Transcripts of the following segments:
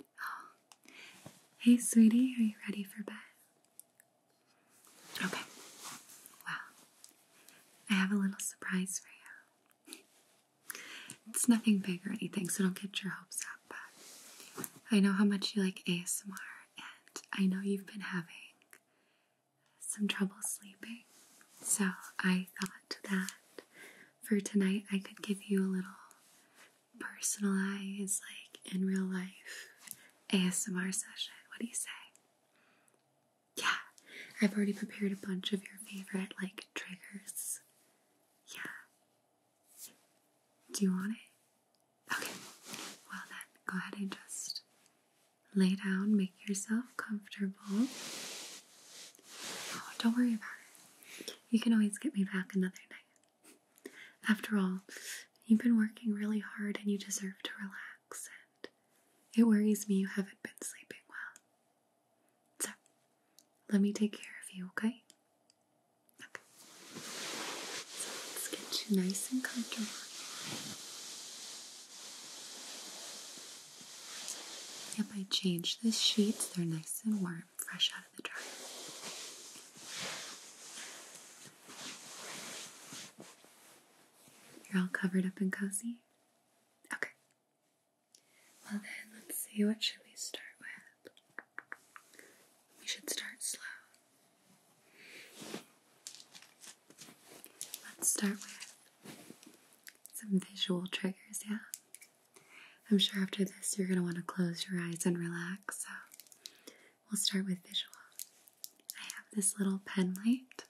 Hey, sweetie, are you ready for bed? Okay. Well, I have a little surprise for you. It's nothing big or anything, so don't get your hopes up. But I know how much you like ASMR, and I know you've been having some trouble sleeping. So I thought that for tonight I could give you a little personalized, like in real life, ASMR session. What do you say? Yeah, I've already prepared a bunch of your favorite, like, triggers. Yeah. Do you want it? Okay. Well, then, go ahead and just Lay down, make yourself comfortable. Oh, don't worry about it. You can always get me back another night. After all, you've been working really hard and you deserve to relax, and it worries me you haven't been sleeping well. So, let me take care of you, okay? Okay. let's get you nice and comfortable. Yep, I changed the sheets. They're nice and warm, fresh out of the dryer. You're all covered up and cozy? Okay. Well then, let's see, what should we start with? We should start slow. Let's start with some visual triggers, yeah. I'm sure after this you're going to want to close your eyes and relax, so we'll start with visual. I have this little pen light.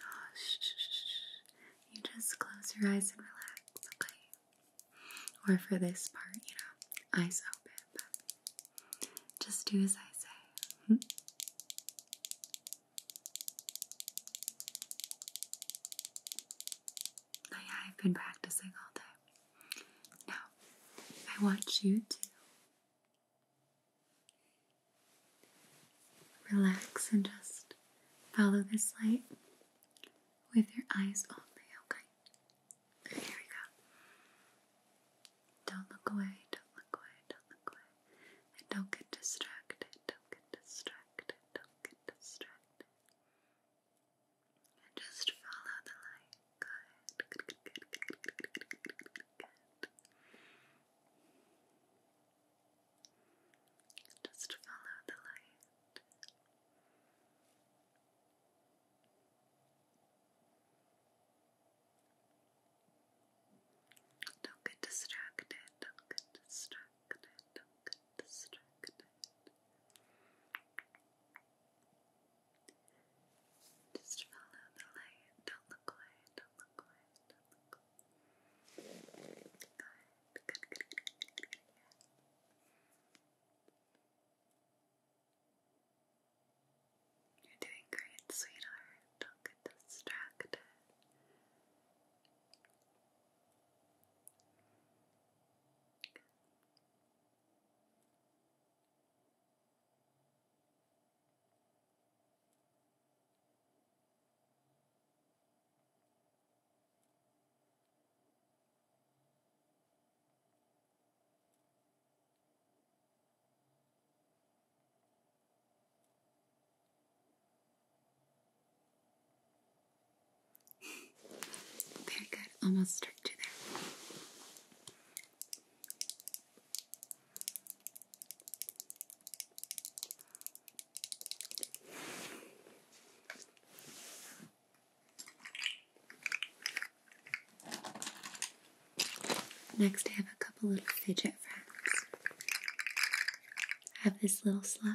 Oh, shh, shh, shh. You just close your eyes and relax, okay? Or for this part, you know, eyes open, just do as I say. Hmm? I've been practicing all day. Now, I want you to relax and just follow this light with your eyes only, okay? Here we go. Don't look away, don't look away, don't look away. And don't get distracted, don't get distracted, don't get distracted. And just follow the light. Good, good, good, good, good, good, good, good, good, good, good. Just follow the light. Don't get distracted, don't get distracted, don't get distracted. Just follow the light, don't look away, don't look away, don't look away. You're doing great, sweetheart. Don't get distracted. Very good, almost straight to there. Next, I have a couple little fidget friends. I have this little slug.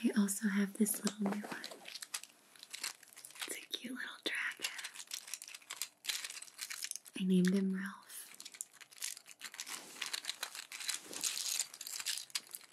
I also have this little new one. It's a cute little dragon. I named him Ralph.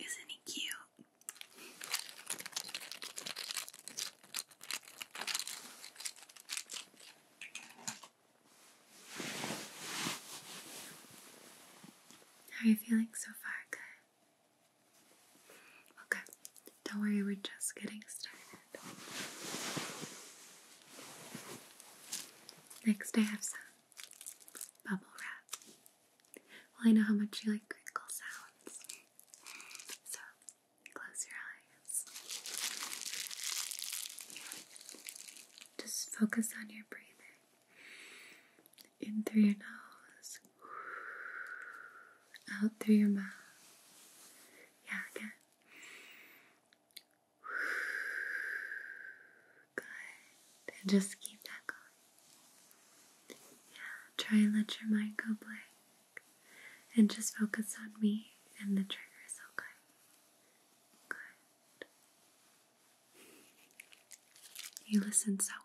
Isn't he cute? How are you feeling so far? Good. Okay, don't worry, we're just getting started. Next, I have some bubble wrap. Well, I know how much you like crinkle sounds, so close your eyes. Just focus on your breathing in through your nose, out through your mouth. Yeah, again. Good. And just keep that going. Yeah, try and let your mind go blank. And just focus on me and the triggers, okay? Good. You listen so well.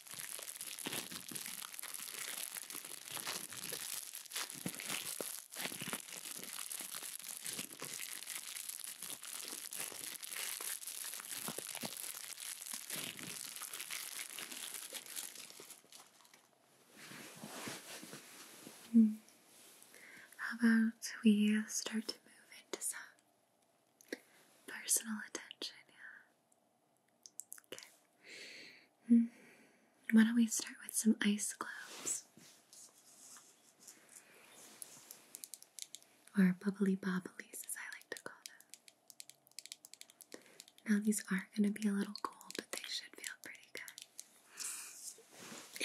Hmm. How about we start to move into some personal attention? Yeah. Why don't we start with some ice globes? Or bubbly bobbles, as I like to call them. Now, these are going to be a little cold, but they should feel pretty good.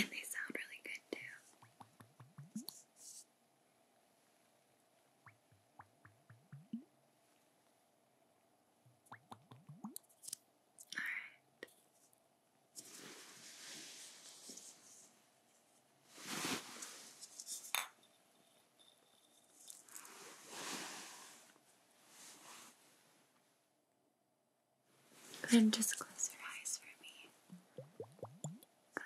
And they sound really good too. Go and just close your eyes for me. Good.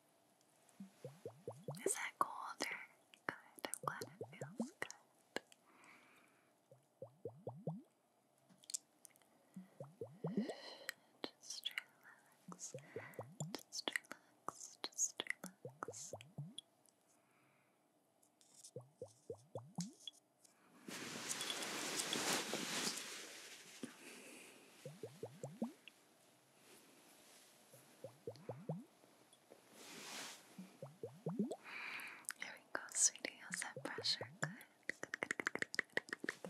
Is that colder? Good. I'm glad it feels good. relax. relax. relax. There we go, sweetie. How's that pressure? Good. Good, good, good, good, good, good. Good.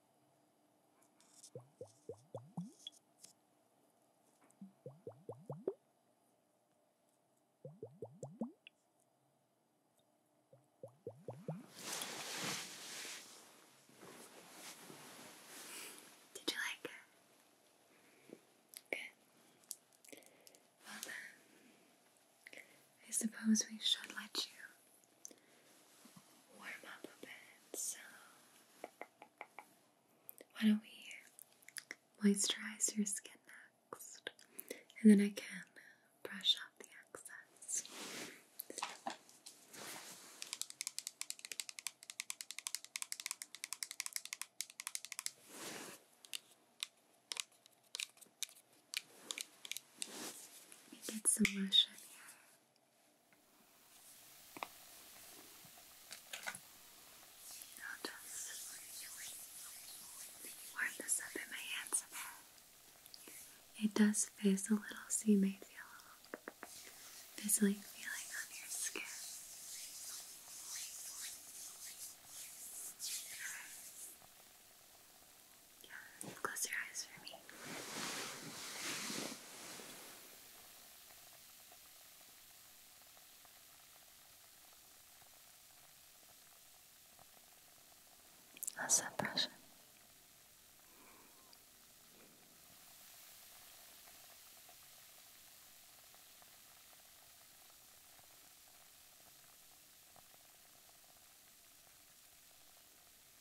Did you like it? Good. Well then, I suppose we should let you warm up a bit, so why don't we moisturize your skin next, and then I can brush off the excess. We some Russian here. i warm this up in my hands a bit. It does fizz a little, so you may feel a little fizzling feeling on your skin. Yeah, close your eyes for me. How's that pressure?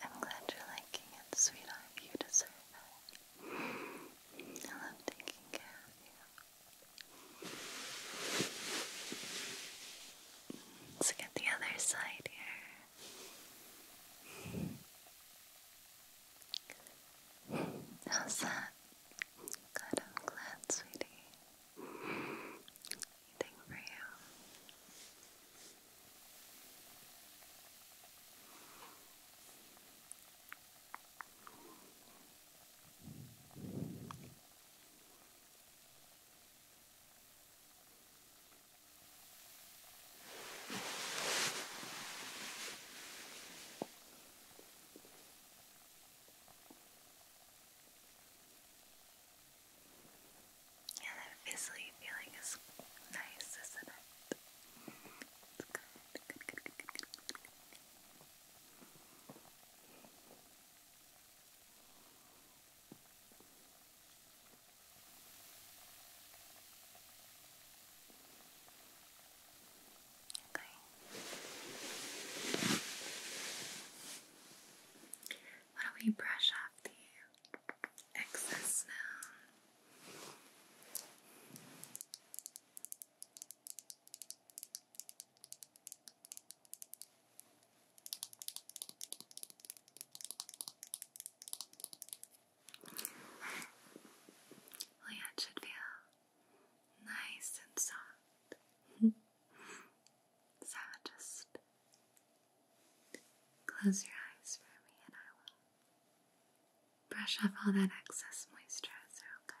I'm glad you're liking it, sweetheart. You deserve it. I love taking care of you. Let's get the other side here. How's that? Good, I'm glad, sweetie. Anything for you? Yeah, that fizzly feeling is nice, isn't it? It's Good. Okay. do we brush off the excess now? Well, oh, yeah, should feel nice and soft. so just close your eyes for me and I will brush off all that excess moisturizer, okay?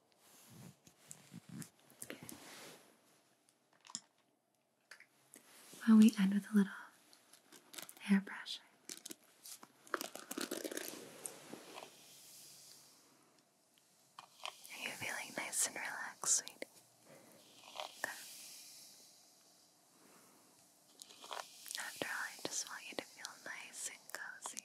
Well, we end with a little hairbrush, Are you feeling nice and relaxed, sweetie? After all, I just want you to feel nice and cozy.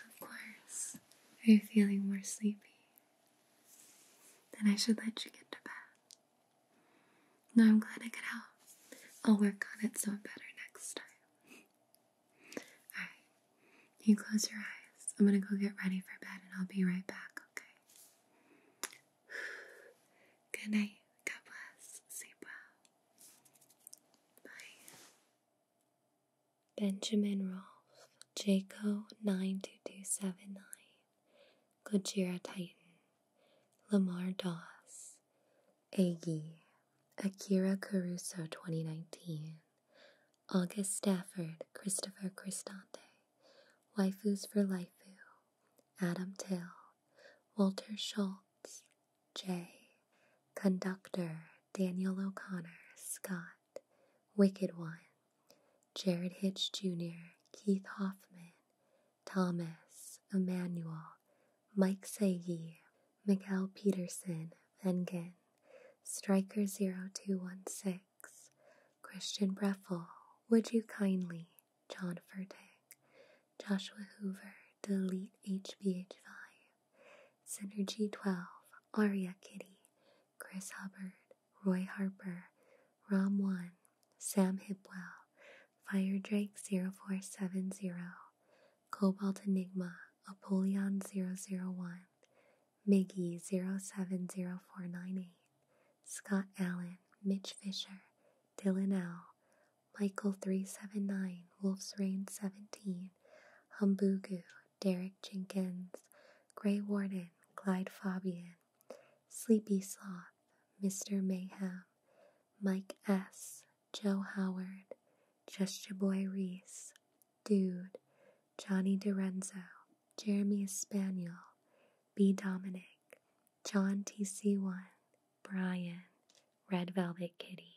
Of course, are you feeling more sleepy? Then I should let you get to bed. No, I'm glad I could help. I'll work on it so I'm better next time. Alright, you close your eyes. I'm gonna go get ready for bed and I'll be right back, okay? Good night. God bless. Sleep well. Bye. Benjamin Rolfe, Jayco 92279, Gojira Titan, Lamar Doss, Aggie, Akira Caruso 2019, August Stafford, Christopher Cristante, Waifus for Life, Adam Till, Walter Schultz, J. Conductor Daniel O'Connor Scott, Wicked One, Jared Hitch Jr., Keith Hoffman, Thomas Emmanuel, Mike Sagi, Miguel Peterson, Vengen, Striker0216, Christian Breffel, Would You Kindly, John Furtick, Joshua Hoover, Delete HBH5, Synergy 12, Aria Kitty, Chris Hubbard, Roy Harper, Rom 1, Sam Hipwell, Fire Drake 0470, Cobalt Enigma, Apollyon 001, Miggy 070498, Scott Allen, Mitch Fisher, Dylan L, Michael 379, Wolf's Rain 17, Humbugu, Derek Jenkins, Grey Warden, Clyde Fabian, Sleepy Sloth, Mr. Mayhem, Mike S., Joe Howard, Just Your Boy Reese, Dude, Johnny Dorenzo, Jeremy Spaniel, B. Dominic, John TC1, Brian, Red Velvet Kitty.